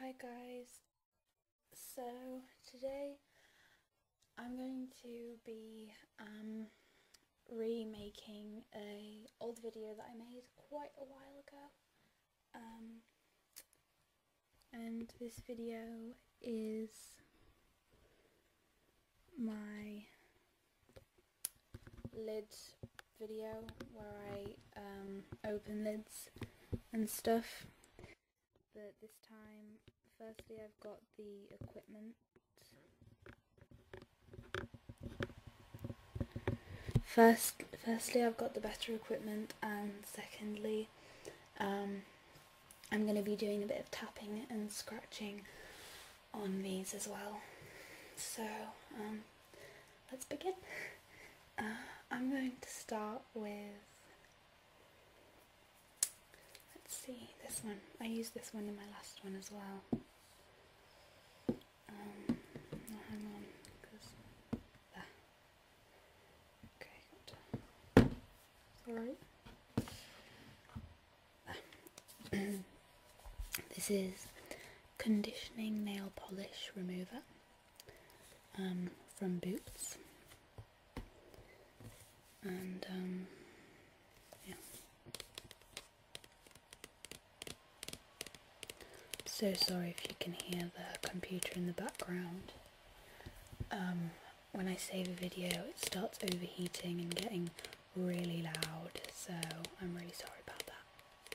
Hi guys, so today I'm going to be um, remaking a old video that I made quite a while ago um, and this video is my lid video where I um, open lids and stuff. But this time, firstly I've got the equipment. First, firstly I've got the better equipment and secondly um, I'm going to be doing a bit of tapping and scratching on these as well. So, um, let's begin. Uh, I'm going to start with, let's see, this one. I used this one in my last one as well. Um, hang on, Okay, good. this is Conditioning Nail Polish Remover um, from Boots, and um, yeah. So sorry if you can hear the computer in the background. Um, when I save a video, it starts overheating and getting really loud, so I'm really sorry about that.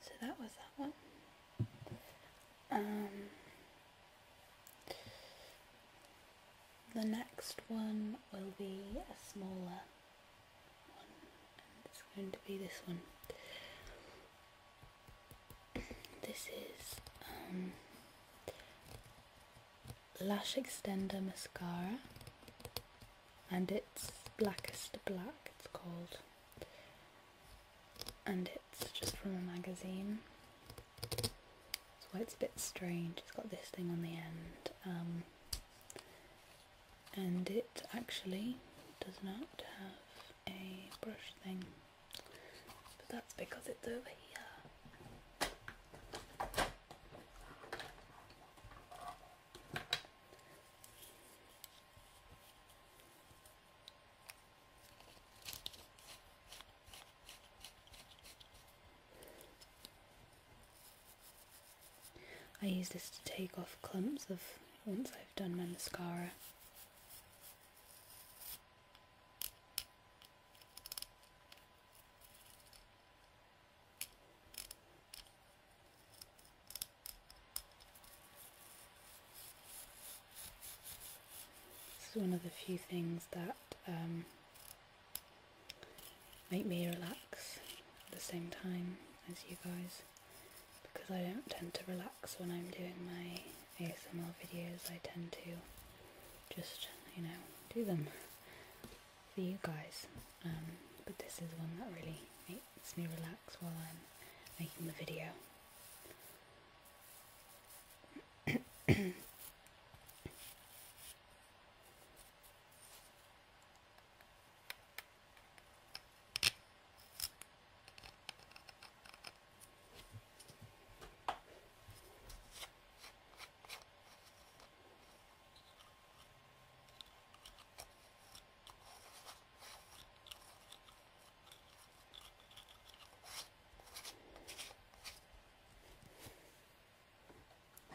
So that was that one. Um, the next one will be a smaller it's going to be this one. This is um, Lash Extender Mascara, and it's Blackest Black, it's called. And it's just from a magazine. so it's a bit strange. It's got this thing on the end. Um, and it actually does not have a brush thing but that's because it's over here I use this to take off clumps of once I've done my mascara. This is one of the few things that um, make me relax at the same time as you guys because I don't tend to relax when I'm doing my ASMR videos, I tend to just, you know, do them for you guys. Um, but this is one that really makes me relax while I'm making the video.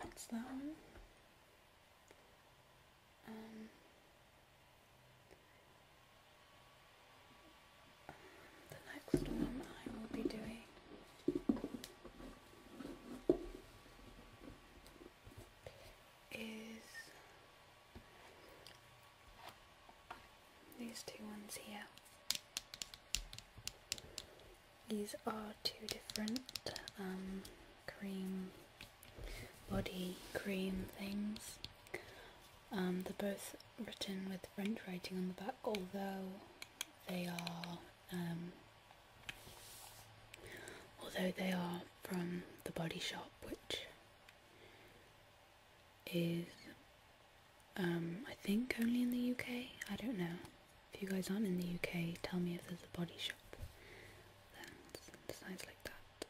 What's that one. Um, the next one I will be doing is these two ones here. These are two different um, cream, body cream things. Um, they're both written with French writing on the back, although they are um, although they are from the Body Shop, which is um, I think only in the UK. I don't know. If you guys aren't in the UK, tell me if there's a Body Shop that sounds like that.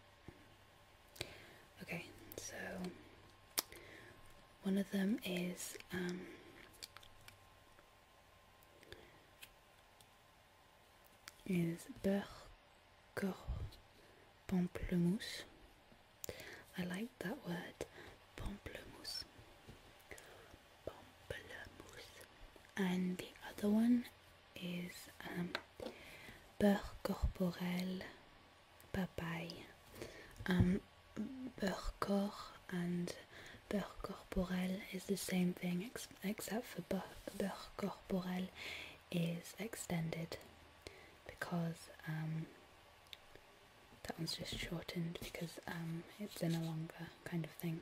Okay, so one of them is um, is beurre corps pamplemousse. I like that word, pamplemousse. Pamplemousse. And the other one is um, beurre corporel papaye. Um, beurre corps and beurre corporel is the same thing except for beurre corporel is extended because um, that one's just shortened because um, it's in a longer kind of thing.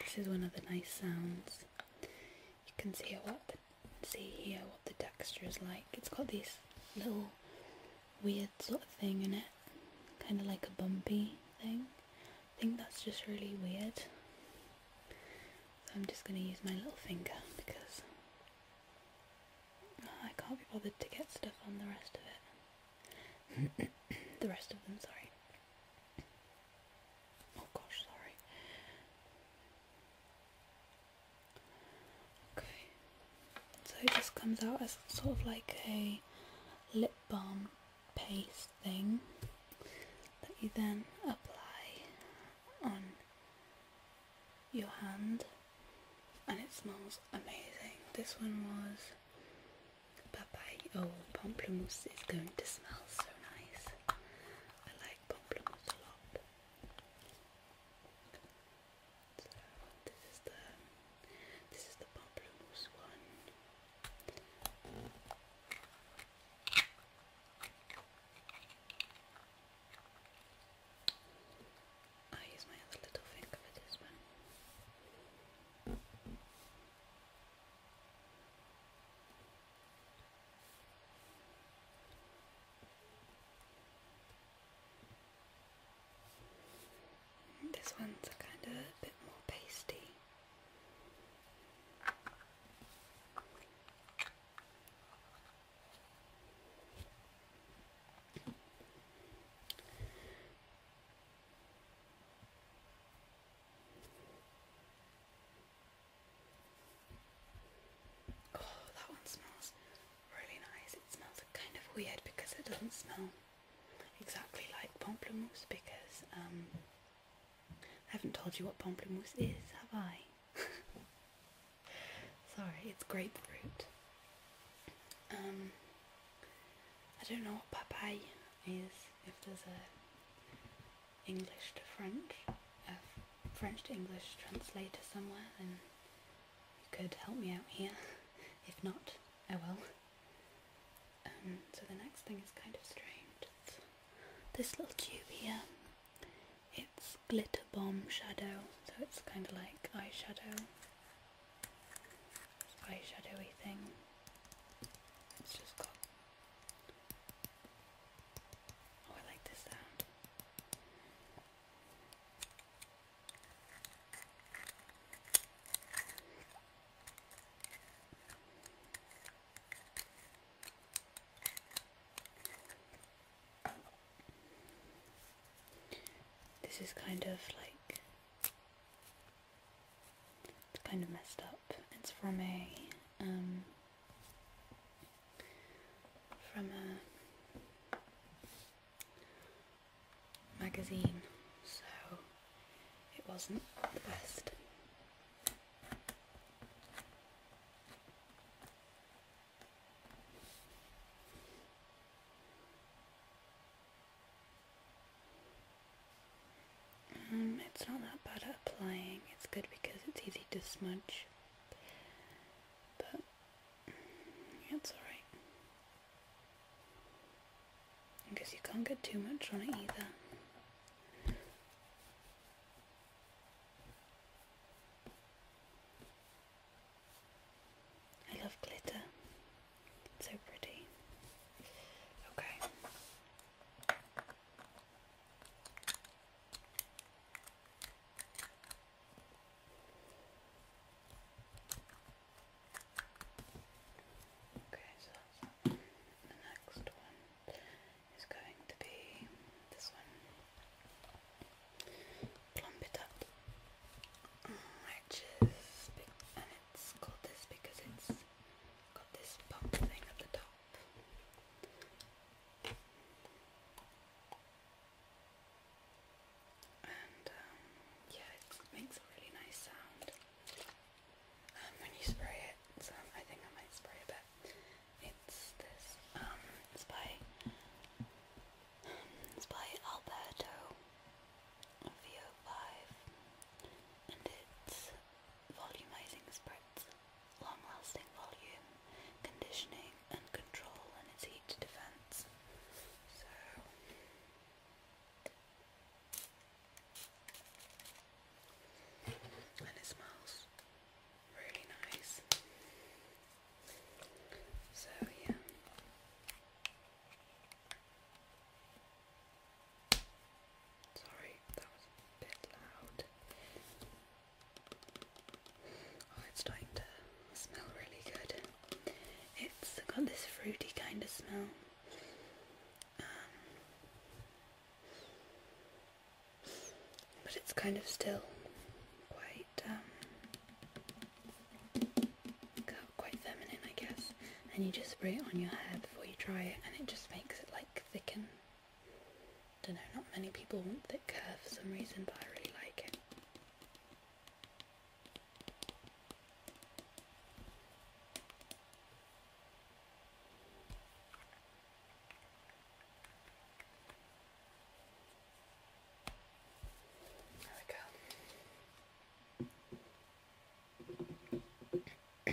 This is one of the nice sounds. You can see what see here what the texture is like. It's got this little weird sort of thing in it, kind of like a bumpy thing. I think that's just really weird. So I'm just going to use my little finger because I can't be bothered to get stuff on the rest of it. the rest of them, sorry. Oh gosh, sorry. Okay. So it just comes out as sort of like a lip balm paste thing that you then apply on your hand and it smells amazing. This one was papaye. Oh, pamplemousse is going to smell so nice. I like pamplemousse a lot. So this is the this is the pamplemousse one. I use my other little finger for this one. This one's a kind of a bit more pasty. Oh, that one smells really nice. It smells kind of weird because it doesn't smell exactly like pamplemousse because um, I haven't told you what pamplemousse is, have I? Sorry, it's grapefruit. Um, I don't know what papaya is, if there's a English to French, a French to English translator somewhere, then you could help me out here. If not, I will. Um, so the next thing is kind of strange. this little cube here. It's Glitter Bomb Shadow, so it's kind of like eyeshadow, eyeshadowy thing. It's just got. Oh, I like this sound. This is kind of like kind of messed up. It's from a um, from a magazine, so it wasn't the best. Um, it's not that bad at applying. It's good because it's easy to smudge. But it's alright. Because you can't get too much on it either. I love glitter. It's so pretty. Okay. Okay, so the next one is going to be this one plump it up, it's called this because it's got this pump thing at the top. And um, yeah, it makes a really nice sound um, when you spray it. So I think I might spray a bit. It's this. Um, it's by it's by Alberto VO5 and it's volumizing spritz, long lasting volume, conditioning and control and its heat defense. So and it smells really nice. So, yeah. Sorry, that was a bit loud. Oh, it's starting to smell really good. It's got this fruity kind of smell. Um, but it's kind of still quite um, quite feminine I guess and you just spray it on your hair before you dry it and it just makes it like thicken don't know not many people want thick hair for some reason but I really like it there we go.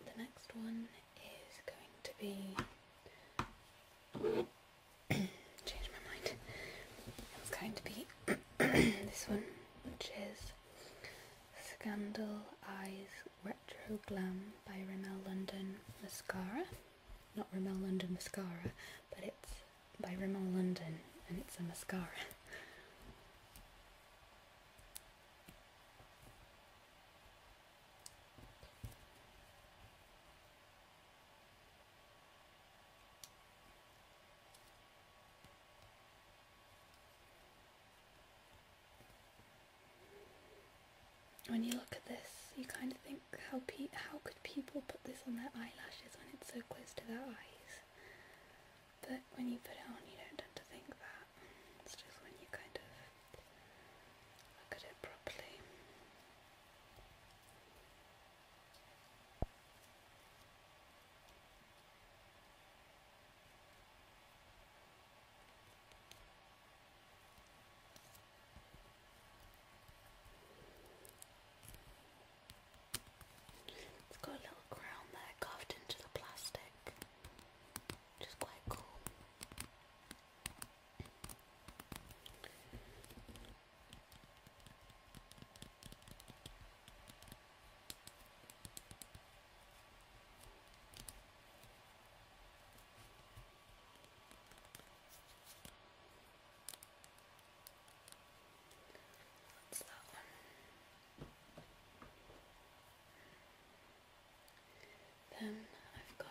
the next one is going to be change my mind. It's going to be this one, which is Scandal Eyes Retro Glam by Rimmel London Mascara not Rimmel London mascara, but it's by Rimmel London and it's a mascara when you look at this, you kind of think, how pe how could people put this on their eyelashes when it's so close to their eyes? But when you put it on, you don't tend to think that. It's just when you kind of look at it properly. It's got a little crown there carved into the plastic, which is quite cool. What's that one? Then I've got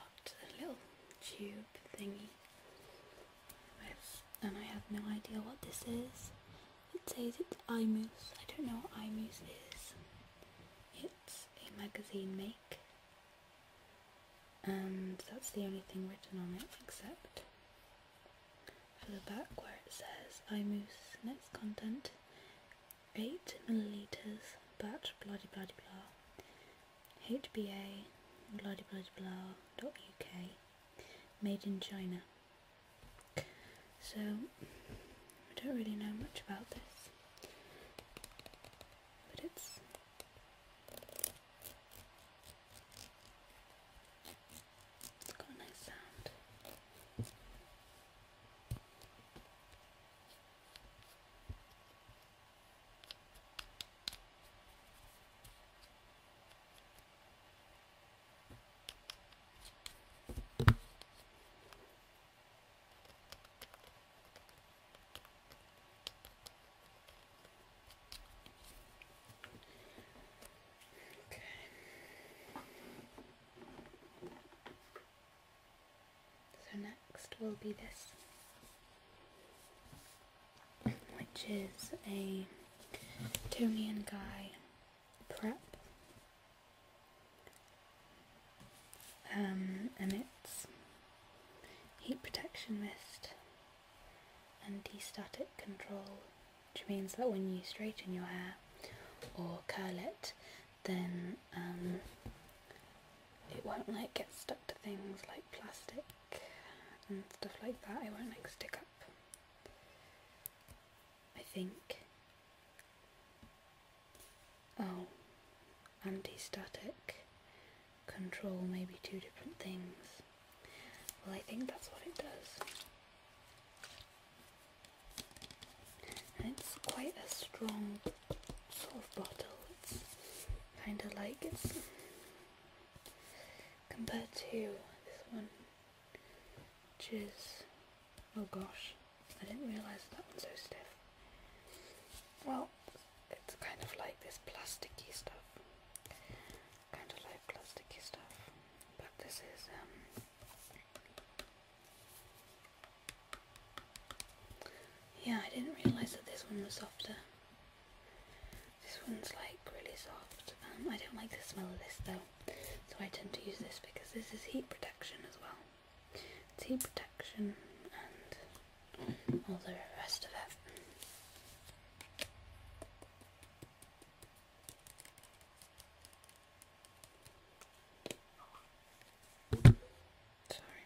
a little tube thingy and I have no idea what this is. It says it's iMuse. I don't know what iMuse is. It's a magazine make and that's the only thing written on it except for the back where it says iMoose next content 8 milliliters batch blah de blah de HBA blah de blah dot UK made in China so I don't really know much about this but it's it's got a nice sound. Okay. So next will be this, which is a Tony and Guy prep. Um, and it's Heat protection mist and de-static control, which means that when you straighten your hair or curl it, then um, it won't like get stuck to things like plastic and stuff like that. It won't like stick up. I think. Oh, anti-static control maybe two different things. Well, I think that's what it does. And it's quite a strong soft bottle. It's kind of like it's compared to this one, which is, oh gosh, I didn't realise that one's so stiff. Well, it's kind of like this plasticky stuff, kind of like plasticky stuff, but this is um, yeah, I didn't realize that this one was softer. This one's like really soft. Um, I don't like the smell of this though, so I tend to use this because this is heat protection as well. It's heat protection and all the rest of it. Sorry.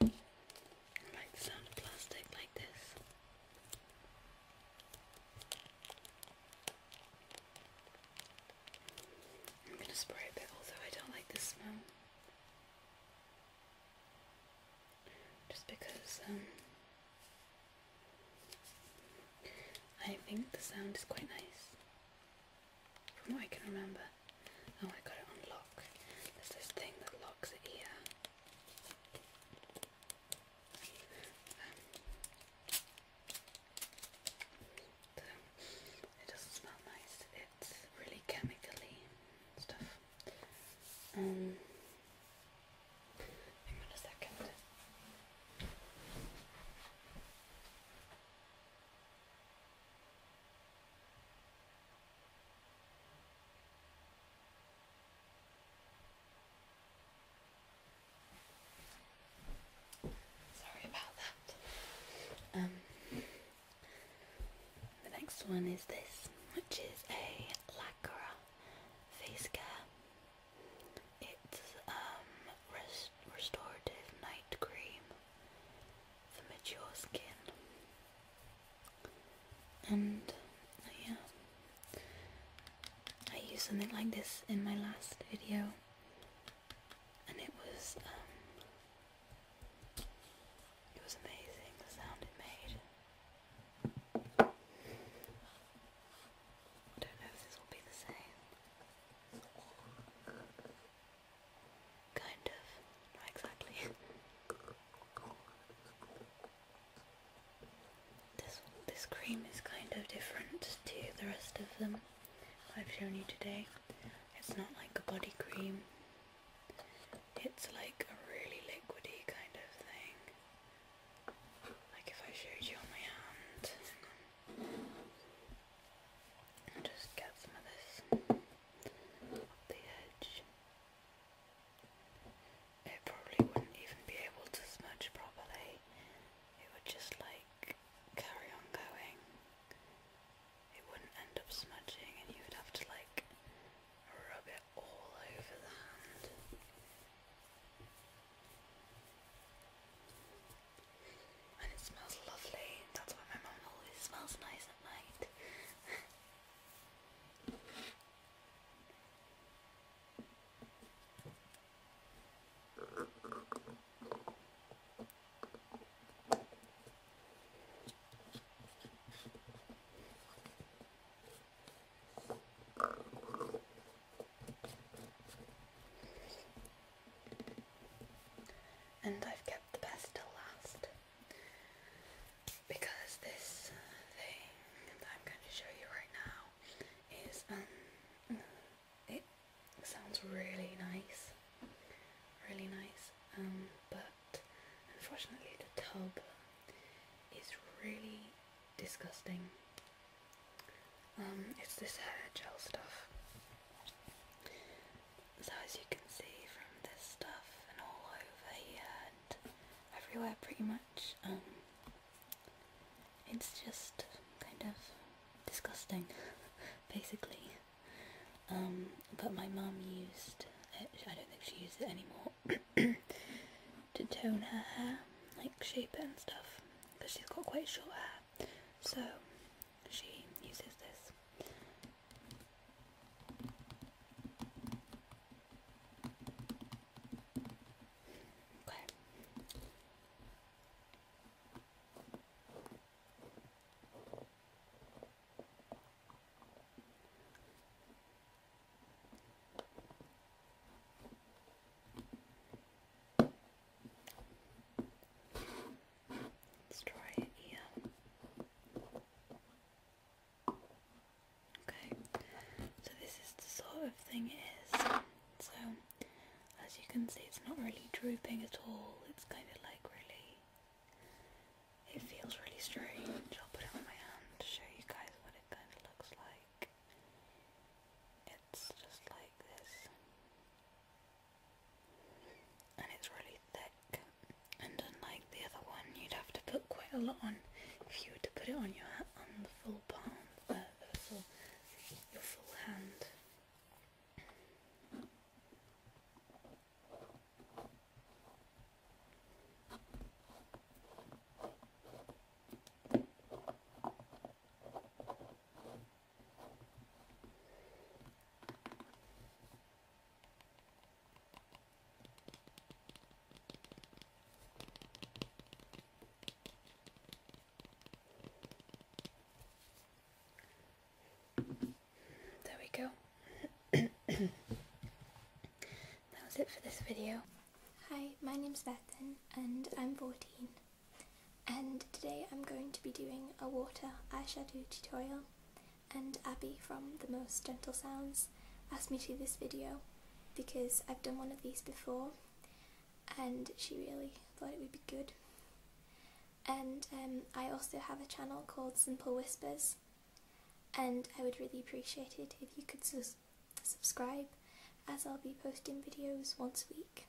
I like the sound of plastic like this. I'm going to spray a although I don't like the smell. Just because um, I think the sound is quite nice from what I can remember. Oh, I got it on There's this thing that locks it here. Um, it doesn't smell nice. It's really chemically stuff. Um, hang on a second. Sorry about that. Um, the next one is this, which is a Lacquer face care. It's um, restorative night cream for mature skin. And oh yeah, I used something like this in my last video, and it was um, it was amazing the sound it made. I don't know if this will be the same. Kind of. Not exactly. this this cream is kind of different to the rest of them I've shown you today. It's not like a body cream. It's like a really liquidy kind of thing. Like if I showed you on my hand just get some of this up the edge. It probably wouldn't even be able to smudge properly. It would just like carry on going. It wouldn't end up smudging and you would have to like rub it all over the hand and it smells lovely. That's why my mom always smells nice at night. And I've kept the best till last because this uh, thing that I'm going to show you right now is um it sounds really nice, really nice. Um, but unfortunately, the tub is really disgusting. Um, it's this hair gel stuff. So as you can see from this stuff and all over here and everywhere pretty much, um, it's just kind of disgusting, basically. Um, but my mum used it, I don't think she uses it anymore, to tone her hair, like shape it and stuff, because she's got quite short hair. So she uses this. Okay. Let's try it here. Okay, so this is the sort of thing it is. So, as you can see, it's not really drooping at all. It's kind of like really, it feels really strange. I'll put it on my hand to show you guys what it kind of looks like. It's just like this and it's really thick and unlike the other one you'd have to put quite a lot on if you were to put it on your on the full palm, uh, your full hand. There we go. that was it for this video. Hi, my name's Bethan and I'm 14 and today I'm going to be doing a water eyeshadow tutorial and Abby from The Most Gentle Sounds asked me to do this video because I've done one of these before and she really thought it would be good and um, I also have a channel called Simple Whispers and I would really appreciate it if you could subscribe as I'll be posting videos once a week.